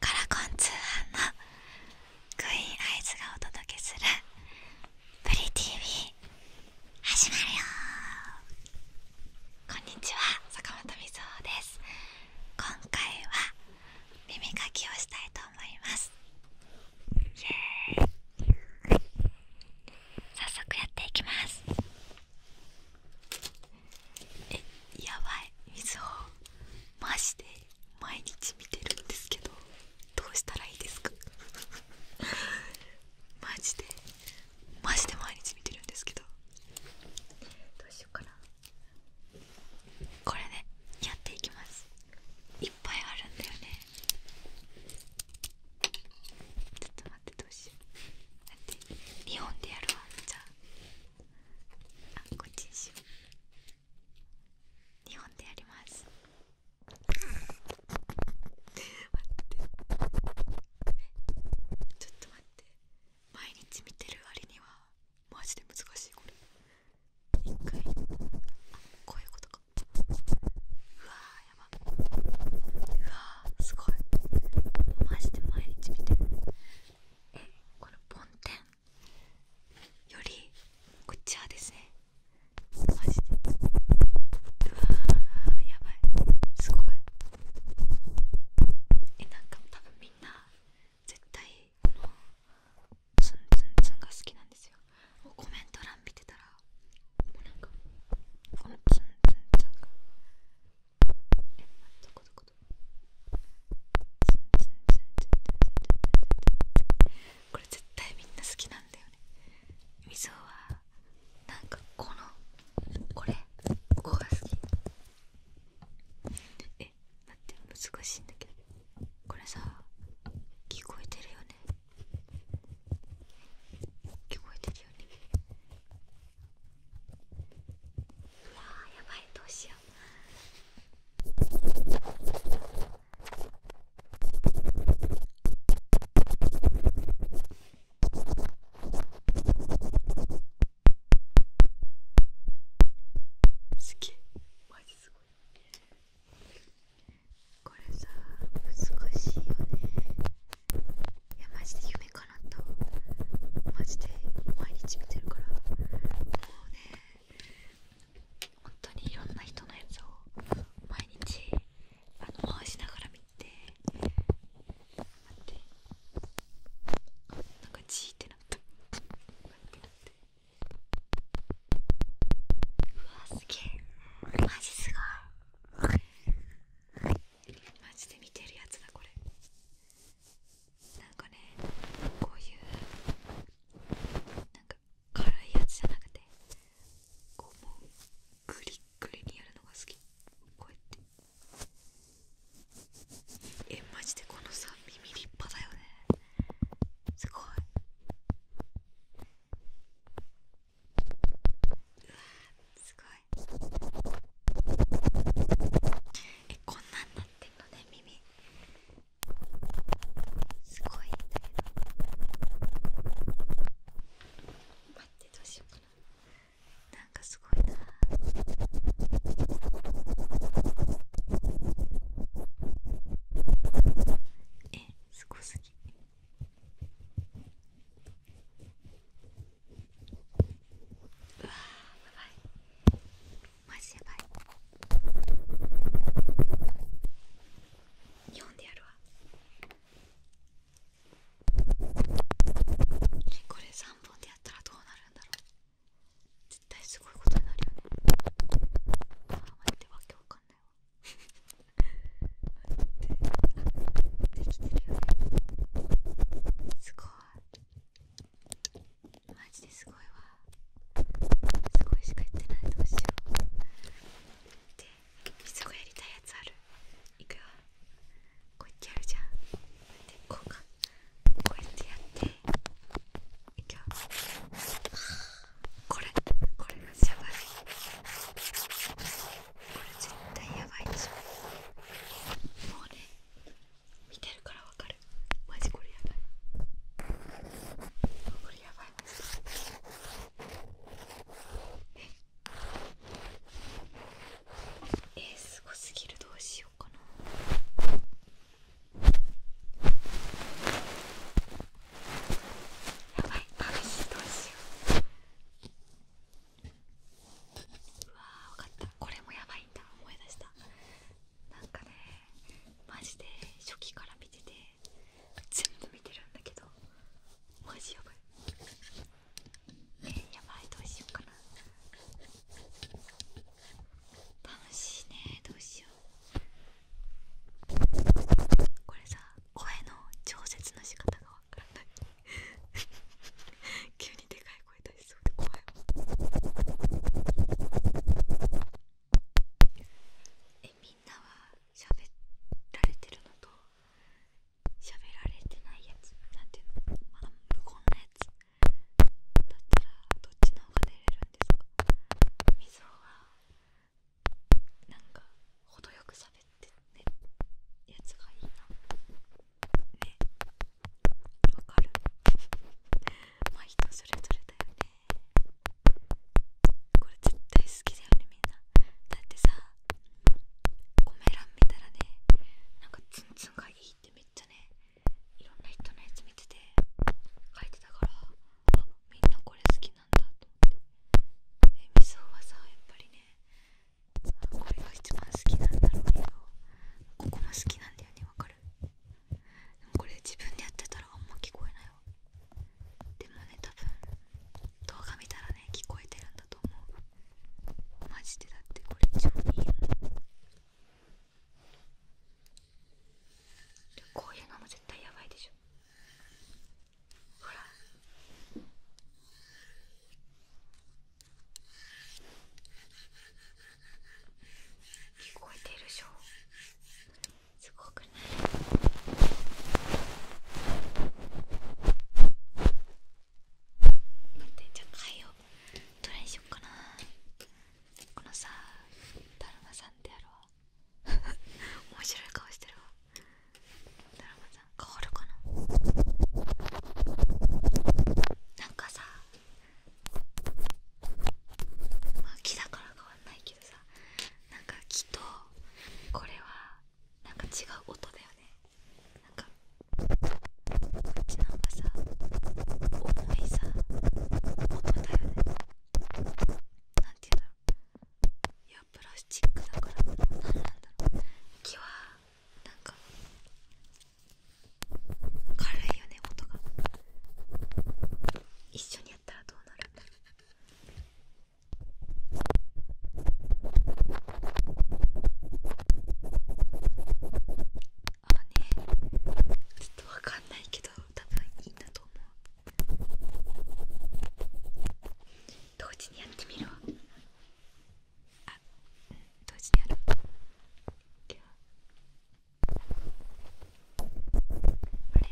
カラコン通販のグイーンアイズがお届けする「プリ TV」始まるよこんにちは坂本瑞穂です今回は耳かきをしたいと思いますイエー早速やっていきますえやばい水をマジで毎日見てるんですけどどうしたらいいですかマジでマジで毎日見てるんですけどどうしようかなこれでやっていきますいっぱいあるんだよねちょっと待ってどうしようだって日本でやるわじゃああこっちにしよう日本でやります待ってちょっと待って毎日見てる割にはマジで難しいこれ一回こういうことかうわやばうわすごいマジで毎日見てるこの梵天よりこっちはですねマジでうわーやばいすごいえなんか多分みんな絶対このツンツンツンが好きなんですよコメント欄見てたらもうなんかこのツンツンツンがえ、こどこどここれ絶対みんな好きなんだよねみぞはなんかこのこれここが好きえ待って難しいんだけどこれさ聞こえてるよね聞こえてるよねうわやばいどうしよう。これさ難しいよねマジで毎日見てるからもうね本当にいろんな人のやつを毎日あの回しながら見て待ってなんかチーってなった待って待ってうわすげえマジすごいマジで見てるやつだこれなんかねこういうなんか辛いやつじゃなくてこうもうグリッグリにやるのが好きこうやってえマジでこのさ耳立派だよねすごいうわすごいえこんなってんのね耳すごいんだけど待ってどうしようかななんかすごいなえすごすぎ。うわーやばいマジやばい読んでやるわこれ3本でやったらどうなるんだろう絶対すごいことになるよねあー待ってわけわかんないわ待ってできてるよねすごいマジですごいわすごいしか言ってないどうしようでいつかやりたいやつあるいくよこうやってやるじゃんでこうかこうやってやっていくよこれこれがやばいこれ絶対やばいでしょもうね見てるからわかるマジこれやばいこれやばいえすごすぎるどうしようかなやばいマジどうしよううわ分かったこれもやばいんだ思い出したなんかねマジで初期から見てて全部見てるんだけどマジやばいえー、やばいどうしようかな楽しいねどうしようこれさ声の調節のか方がわからない急に でかい声出しそうで怖いわえみんなは喋られてるのと喋られてないやつなんていうのまあ無言なやつだったらどっちの方が出れるんですかみぞはなんか程よく喋ってねやつがいいなねわかるまあ人それぞれだよねこれ絶対好きだよねみんなだってさコメ欄見たらねなんかツンツンがいいってめっちゃねいろんな人のやつ見てて書いてたからあみんなこれ好きなんだと思ってえみそはさやっぱりねこれが一番好きなんだろうけどここも好きなんだよねわかるでもこれ自分でやってたらあんま聞こえないわでもね多分動画見たらね聞こえてるんだと思うマジでだってこれ超いいよこういうのも絶対やばいでしょほら聞こえているでしょすごくない待ってじゃあ貝をどれにしようかなこのさだるまさんであろう面白い顔してるわだるまさん変わるかななんかさま木だから変わんないけどさなんか木とこれはなんか違う音だよねなんかこっちの方がさ重いさ音だよね何て言うんだろういやプラスチックだから何なんだろう木はなんか軽いよね音が一緒にやったらどうなるんだろうああねちょっとわかんないけど多分いいんだと思う同時にやってみるわあ同時にやるあれ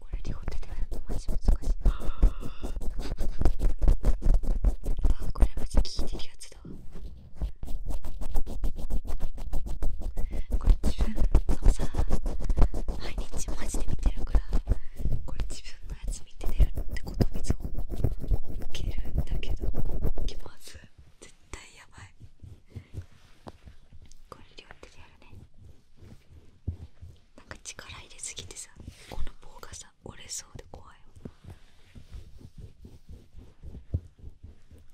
これ両手でやるとマジ難しいあこれマジ聞いてるやつだこれ自分のさ毎日マジで見てるからこれ自分のやつ見てるってこと水を起きるんだけど起きます絶対やばいこれ両手でやるねなんか力入れすぎてさこの棒がさ折れそうで怖いわ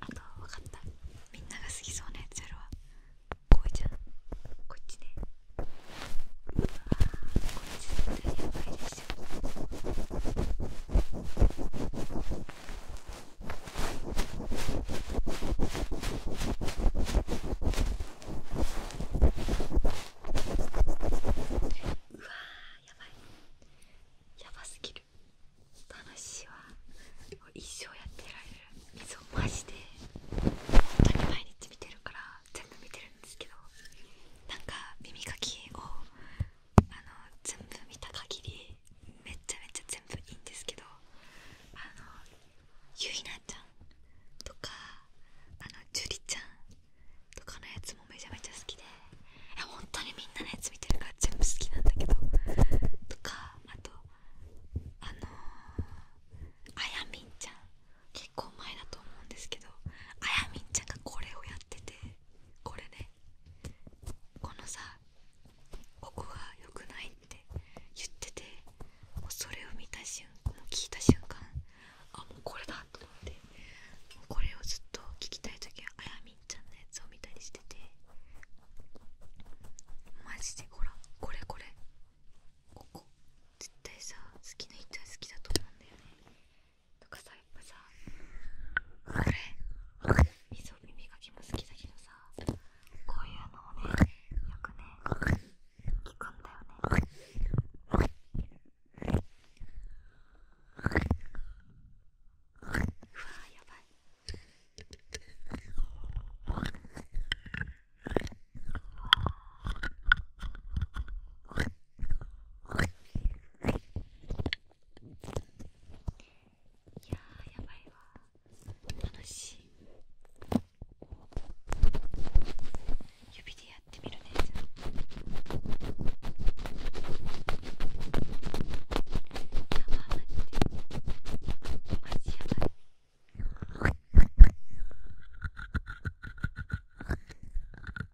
あと分かったみんなが好きそうなやつやるわこうじゃこっちで。うわこっち絶対やばいですうわやばいやばすぎる楽しいわ一生やってられる水をマジで本当に毎日見てるから全部見てるんですけどなんか耳かきをあの全部見た限りめっちゃめちゃ全部いいんですけどあのゆいなちゃんとかあの樹里ちゃんとかのやつもめちゃめちゃ好きでいや本当にみんなのやつ見てるから全部好きなんだけどとかあとあのあやみんちゃん結構前だと思うんですけどあやみんちゃんがこれをやっててこれねこのさここが良くないって言っててもそれを見た瞬間聞いた瞬間あもうこれだと思ってこれをずっと聞きたい時はあやみんちゃんのやつを見たりしててマジでほらこれこれここ絶対さ好きな人は好きだと思うんだよねとかさやっぱさこれ水を耳かきも好きだけどさこういうのをねよくね聞くんだよねうわやばいうわ。いやーやばいわ楽しい指でやってみるねやばいマジやばいえやばい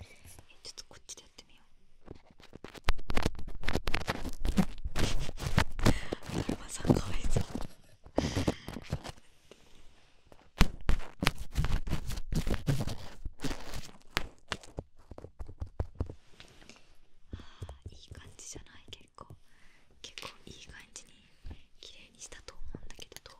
えちょっとこっちでやってみようだるまさんかわいそうあいい感じじゃない結構結構いい感じに綺麗にしたと思うんだけど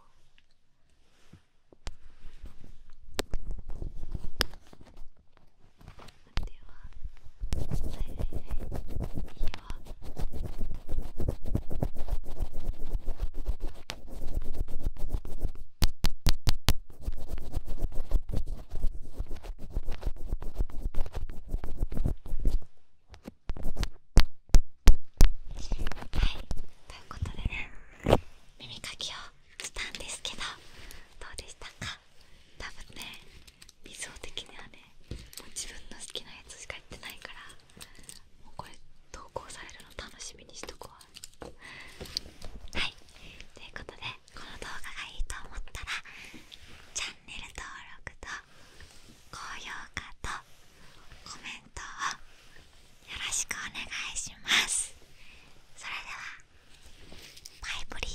でははいはいはいいいよはい、ということでね耳かきをしたんですけどどうでしたか多分ね水を的にはね自分の好きなやつしか言ってないからもうこれ投稿されるの楽しみにしとこうはいということでこの動画がいいと思ったらチャンネル登録と高評価とコメントをよろしくお願いしますそれではバイブリー